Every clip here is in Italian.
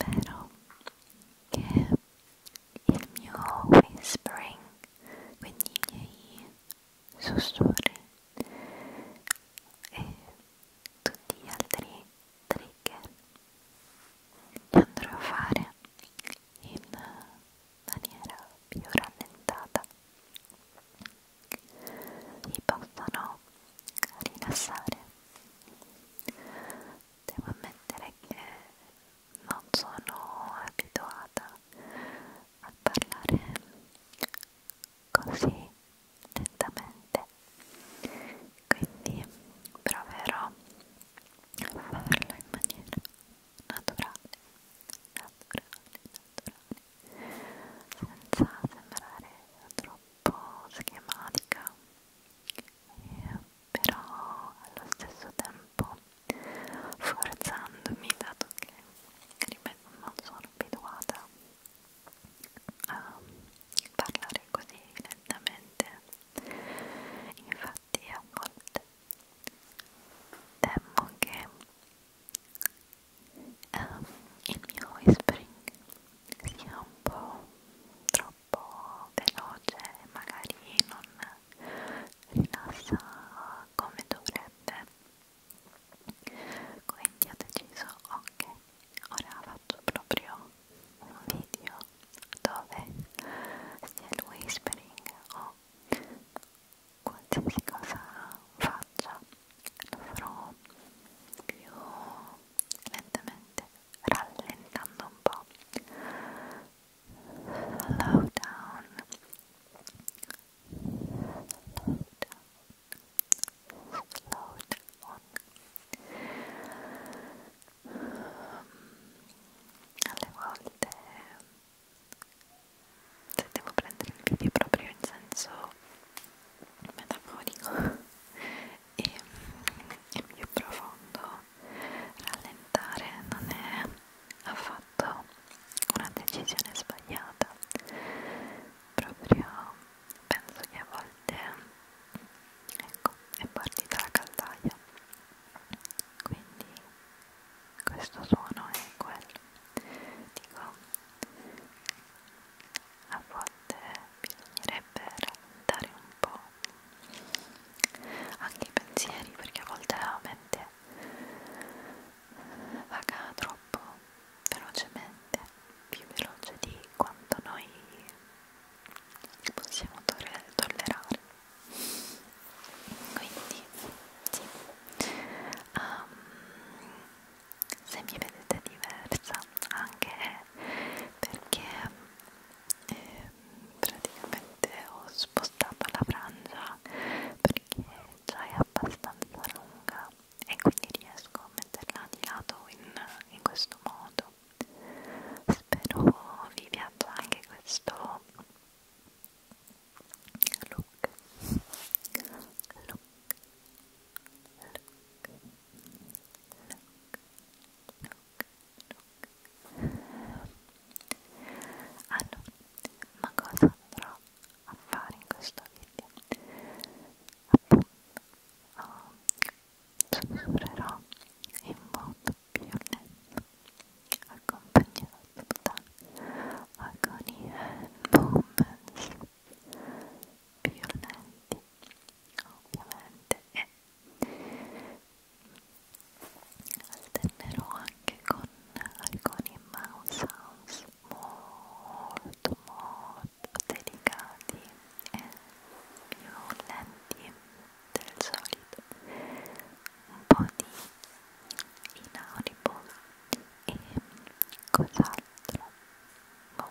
Spero che il mio whispering, quindi i miei sussurri e tutti gli altri trigger li andrò a fare in maniera più rallentata vi possano rilassare devo ammettere che non sono abituata a parlare così lentamente quindi proverò a farlo in maniera naturale naturale naturale senza sembrare troppo schematica eh, però allo stesso tempo forzandomi dato che ripeto non sono abituata a parlare così lentamente infatti a volte temo che um, il mio whispering sia un po' troppo troppo veloce magari non rilassa come dovrebbe quindi ho deciso ok ora faccio proprio un video dove sia il whispering o qualsiasi cosa faccia lo farò più lentamente, rallentando un po'. Slow down. Slow down. Slow down. Alle volte se devo prendere il video proprio in senso metaforico e, e più profondo rallentare non è affatto una decisione sbagliata proprio penso che a volte ecco è partita la caldaia quindi questo suono è quello dico a volte bisognerebbe rallentare un po' anche i pensieri perché a volte la mente vaga troppo velocemente, più veloce di quanto noi possiamo tollerare quindi sì um, se mi vedete diversa anche perché eh, praticamente ho spostato la frangia perché già è abbastanza lunga e quindi riesco a metterla di lato in, in questo modo spero vi piaccia anche questo look look look Ah no, ma cosa andrò a fare in questo video? Appunto, oh, sussurrerò in modo più lento, accompagnato da agonie e moments più lenti ovviamente e alternerò anche con alcuni mouse sounds molto molto delicati e più lenti del solito un po' di inaudible e cos'altro boh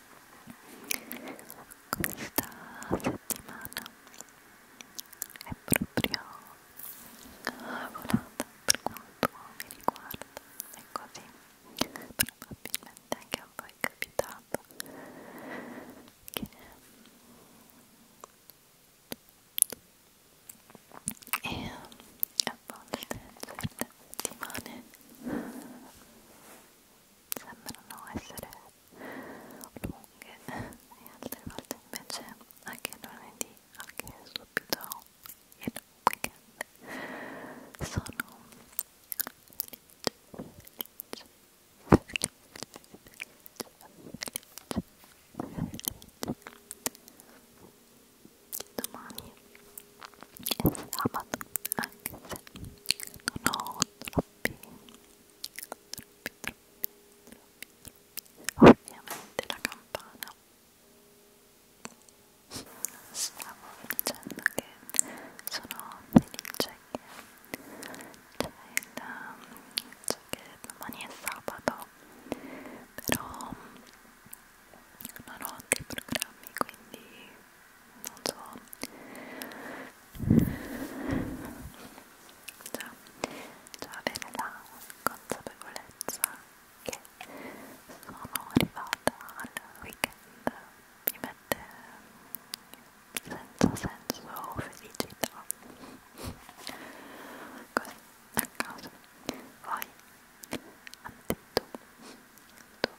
questa settimana è proprio volata per quanto mi riguarda è così probabilmente anche a voi è capitato che e a volte certe settimane sembrano essere lunghe e altre volte invece anche lunedì, anche subito il weekend sono felice, felice, felice, felice, felice. domani è sabato anche se non ovviamente la campana stavo dicendo che sono felice che domani è sabato però non ho altri programmi quindi non so già, già avere la consapevolezza che sono arrivata al weekend mi mette senza senso felicità così a caso poi anzi tu tu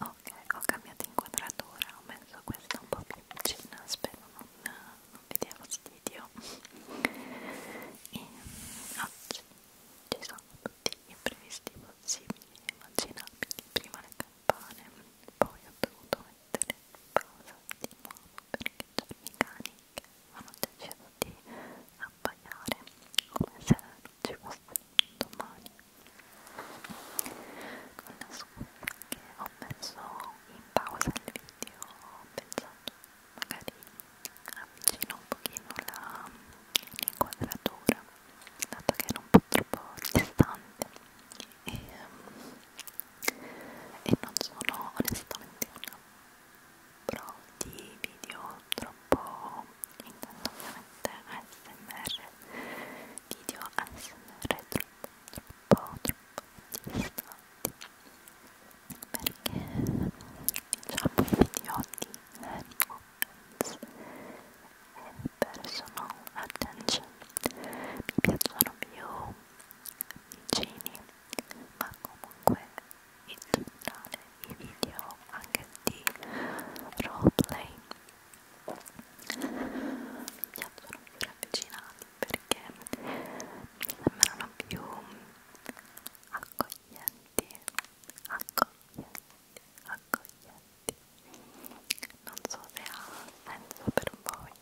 ok ho cambiato inquadratura ho messo questa un po' più vicina spero non, non vi dia fastidio e oggi ci sono tutti gli imprevisti possibili e immaginabili prima le campane poi ho dovuto mettere in pausa di nuovo perché c'erano i cani che hanno deciso di abbaiare come se non ci fosse domani con la scusa che ho messo in pausa il video ho pensato magari avvicino un pochino la l'inquadratura dato che era un po' troppo distante e, ehm, e non sono onestamente una pro di video troppo troppo intanto ovviamente ASMR video ASMR troppo troppo troppo distanti perché diciamo i video di Netflix eh, e personal attention mi piacciono più vicini ma comunque in generale i video anche di roleplay mi sono più ravvicinati perché mi sembrano più accoglienti accoglienti accoglienti non so se ha senso per voi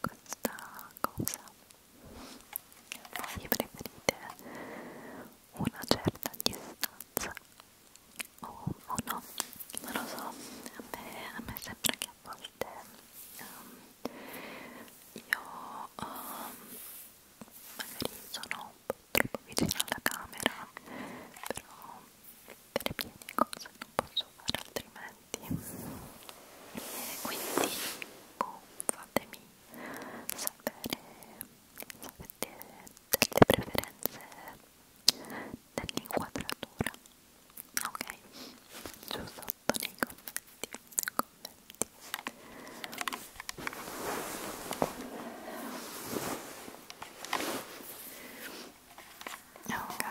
questa cosa voi preferite una certa distanza o, o no, non lo so, a me, a me sembra che a volte um, io um, magari sono un po' troppo vicino alla camera, però per pieni cose non posso fare altrimenti e quindi boh, fatemi sapere delle preferenze dell'inquadratura ok giù sotto nei commenti, commenti. ok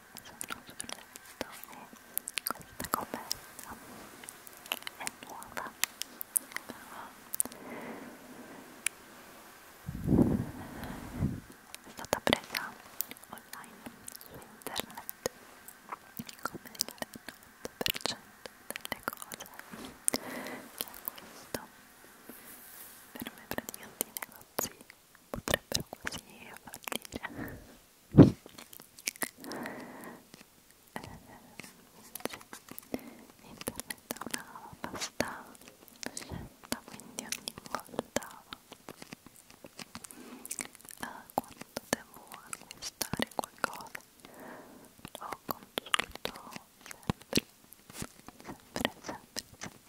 sono sul letto e questa coperta è nuova però è stata presa online su internet come il 90% delle cose che acquisto per me praticamente i negozi potrebbero così fallire eh, internet è una vasta scelta quindi ogni volta eh, quando devo acquistare qualcosa lo consulto sempre sempre sempre sempre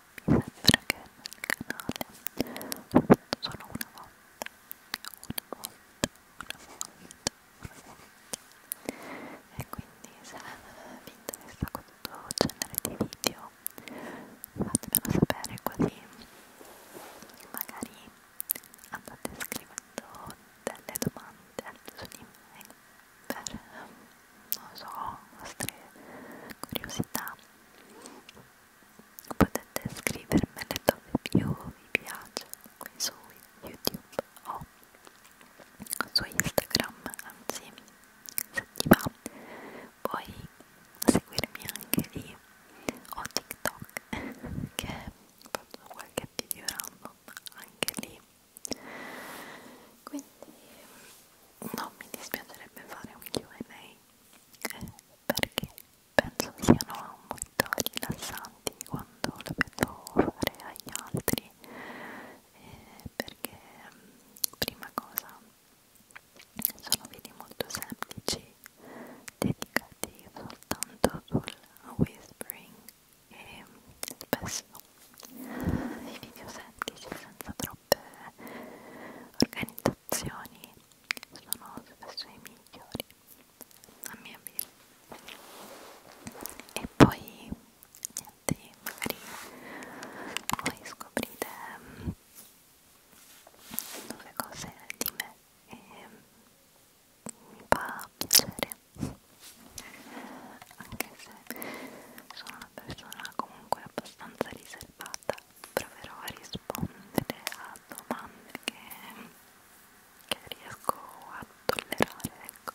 sembra che nel canale ho fatto solo una volta una volta, una volta, una volta e quindi se vi interessa questo genere di video fatemelo sapere così magari andate scrivendo delle domande su di me per, non so, vostre curiosità potete scrivermele dove più vi piace qui su youtube o su instagram anzi se ti va puoi seguirmi anche lì o tiktok che faccio qualche video random anche lì quindi non mi dispiacerebbe fare un Q&A perché penso siano molto rilassanti quando lo vedo fare agli altri eh, perché mm, prima cosa sono video molto semplici dedicati soltanto sul whispering e spesso i video semplici senza troppe organizzazioni situazioni sono situazioni migliori a mio avviso e poi niente magari voi scoprite nuove mm, cose di me e mi fa piacere anche se sono una persona comunque abbastanza riservata proverò a rispondere a domande che, che riesco a tollerare, ecco.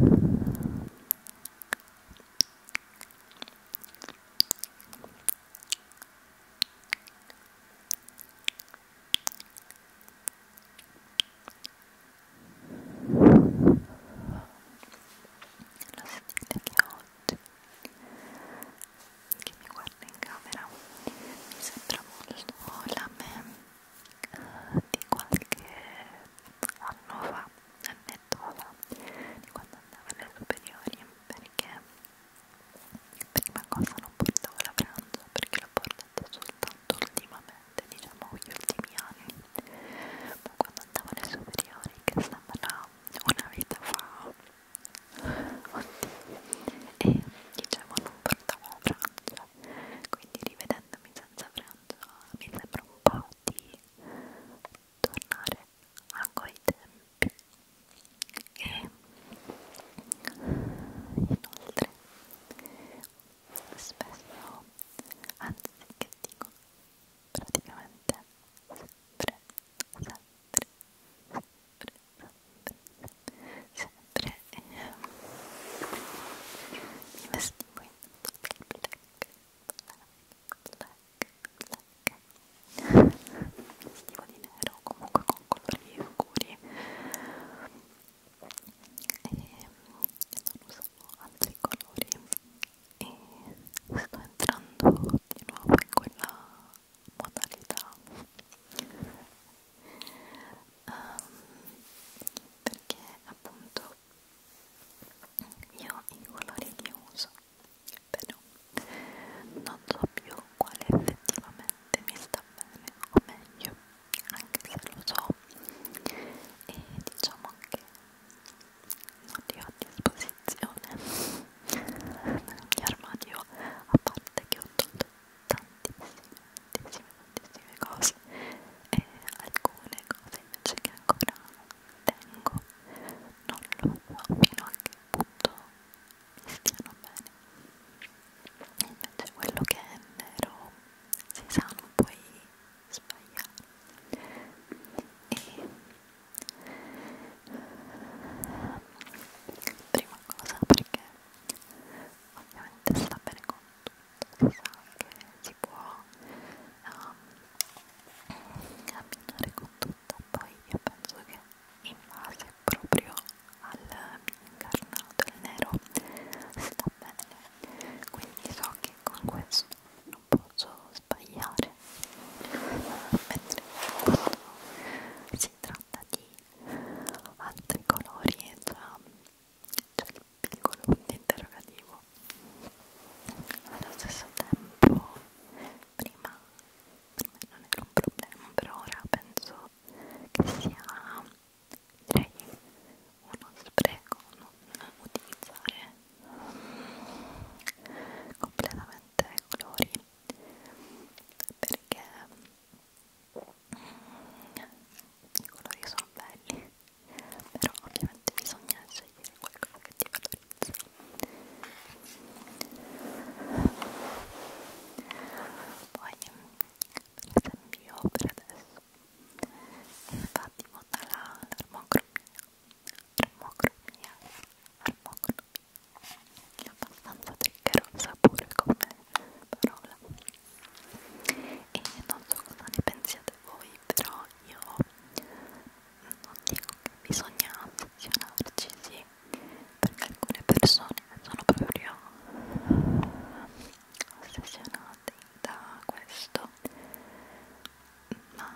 Allora, lo sentite che oggi che mi guarda in camera mi sembra molto la me uh, di qualche anno fa annetto fa di quando andavo alle superiori perché prima cosa non portavo la pranzo perché l'ho portata soltanto ultimamente recente, diciamo gli ultimi anni, ma quando andavo alle superiori, che sembra una vita fa, oddio, e dicevo non portavo pranzo, quindi rivedendomi senza pranzo mi sembra un po' di tornare a quei tempi e inoltre spesso anzi che dico praticamente sempre, sempre, sempre, sempre, sempre ehm, mi vestivo in tutto il black, black, black, black mi vestivo di nero comunque con colori scuri e non usavo altri colori e sto entrando di nuovo in quella modalità um, perché appunto io i colori li uso però non so più quale effettivamente mi sta bene o meglio anche se lo so e diciamo che non li ho a disposizione nel mio armadio a parte che ho tolto tantissime tantissime tantissime cose e alcune cose invece che ancora tengo non lo so fino a che punto mi stiano bene invece quello che è nero si sa non puoi sbagliare e prima cosa perché ovviamente sta bene con tutto si sa che si può um, ehm, camminare con tutto poi io penso che in base proprio al mio incarnato il nero sta bene quindi so che con questo non posso sbagliare mentre quando si tratta di altri colori e già c'è cioè, il piccolo punto interrogativo allo stesso tempo prima, prima non era un problema per ora penso che sia direi uno spreco non utilizzare completamente i colori perché i colori sono belli però ovviamente bisogna scegliere qualcosa che ti valorizza poi per esempio per adesso infatti vota l'armocromia armocromia armocromia è abbastanza triggerosa pure come parola e non so cosa ne pensiate voi però io non dico che bisogna ossessionarci sì perché alcune persone sono proprio ossessionate da questo ma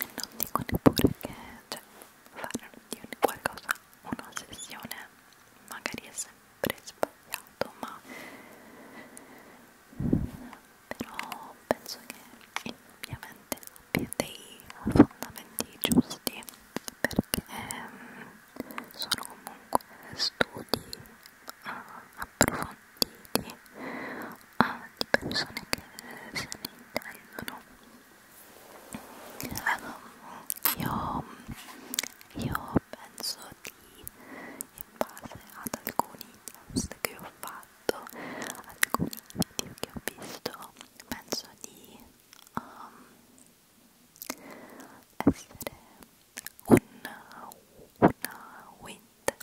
non dico neppure che cioè, fare di qualcosa un'ossessione magari è sempre sbagliato, ma però penso che ovviamente abbia dei fondamenti giusti perché ehm, sono comunque studi ah, approfonditi antiche a di persone che se ne intendono io, io penso di in base ad alcuni test che ho fatto alcuni video che ho visto penso di um, essere una, una winter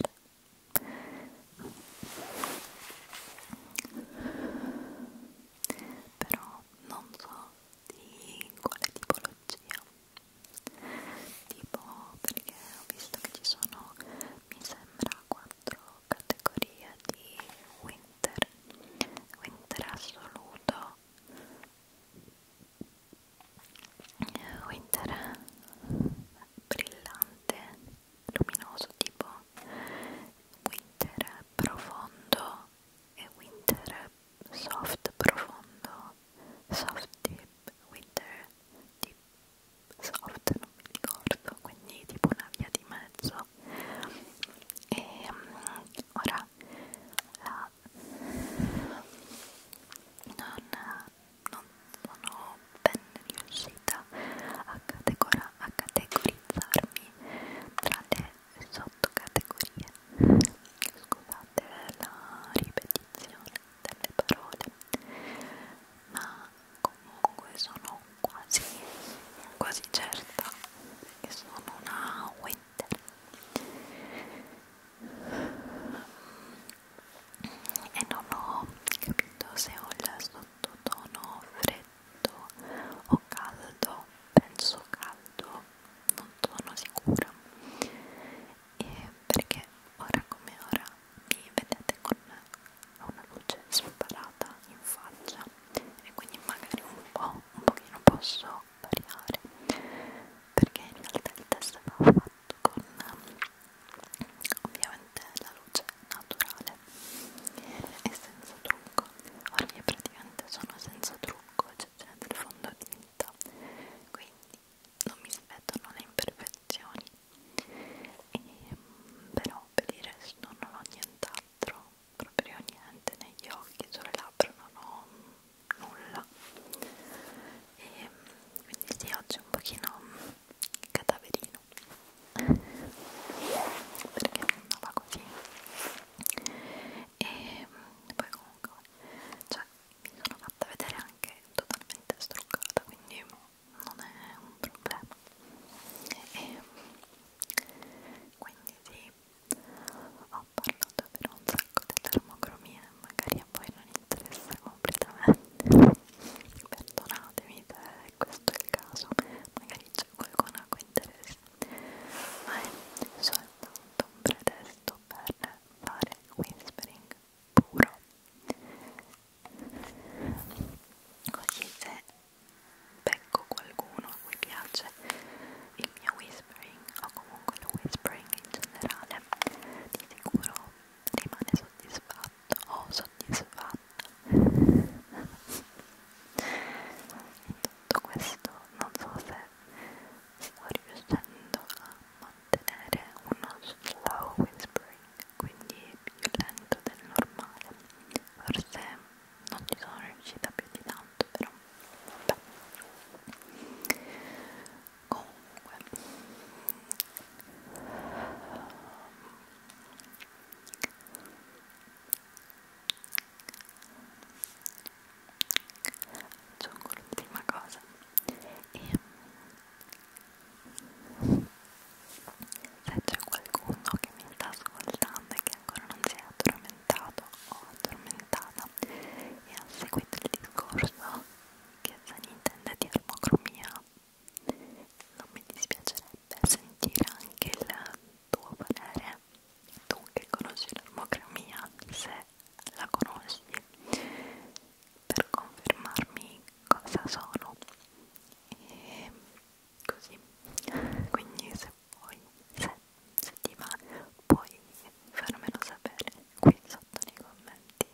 però non so di quale tipologia tipo perché ho visto che ci sono mi sembra quattro categorie di winter winter assoluto winter brillante, luminoso tipo winter profondo e winter soft profondo, soft deep, winter deep soft, non mi ricordo, quindi tipo una via di mezzo e um, ora la non, non sono ben riuscita a, categora, a categorizzarmi tra le sottocategorie scusate la ripetizione delle parole ma comunque sono quasi quasi certa che sono una winter e non ho capito se ho il sottotono freddo o caldo penso caldo non sono sicura e perché ora come ora mi vedete con una luce sparata in faccia e quindi magari un po' un pochino posso variare perché in realtà il test va fatto fatto con ovviamente la luce naturale e senza trucco ora io praticamente sono senza trucco cioè c'è del fondotinta quindi non mi spettano le imperfezioni e, ehm, però per il resto non ho nient'altro proprio niente negli occhi, sulle labbra non ho nulla e quindi sì oggi è un pochino cadaverino perché non va così e poi comunque cioè mi sono fatta vedere anche totalmente struccata quindi non è un problema e quindi sì ho parlato per un sacco di termocromia magari a voi non interessa completamente perdonatemi se questo è il caso magari c'è qualcuno a cui interessa ma è soltanto un pretesto per fare whispering puro così se becco qualcuno a cui piace il mio whispering whispering o comunque il whispering in generale di sicuro rimane soddisfatto o soddisfatto in tutto questo non so se sto riuscendo a mantenere uno slow whispering quindi più lento del normale forse non ci sono riuscita più di tanto però vabbè comunque aggiungo l'ultima cosa e se c'è qualcuno che mi sta ascoltando e che ancora non si è addormentato o addormentata e ha seguito il discorso franchezza Nintendo di armocromia non mi dispiacerebbe sentire anche il tuo parere tu che conosci l'armocromia se la conosci per confermarmi cosa sono e così quindi se vuoi se, se ti va puoi farmelo sapere qui sotto nei commenti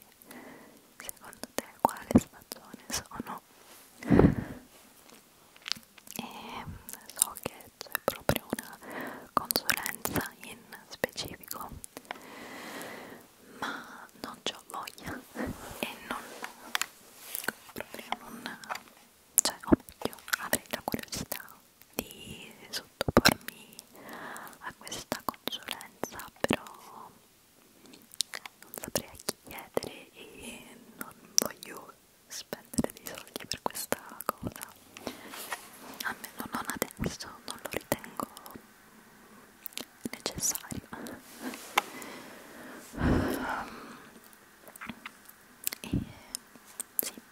secondo te quale stagione sono e so che c'è proprio una consulenza in specifico ma non ho voglia e non proprio non cioè o meglio avrei la curiosità di sottopormi a questa consulenza, però non saprei a chi chiedere e non voglio spendere dei soldi per questa cosa, almeno non adesso, non lo ritengo necessario. Ehm, e sì,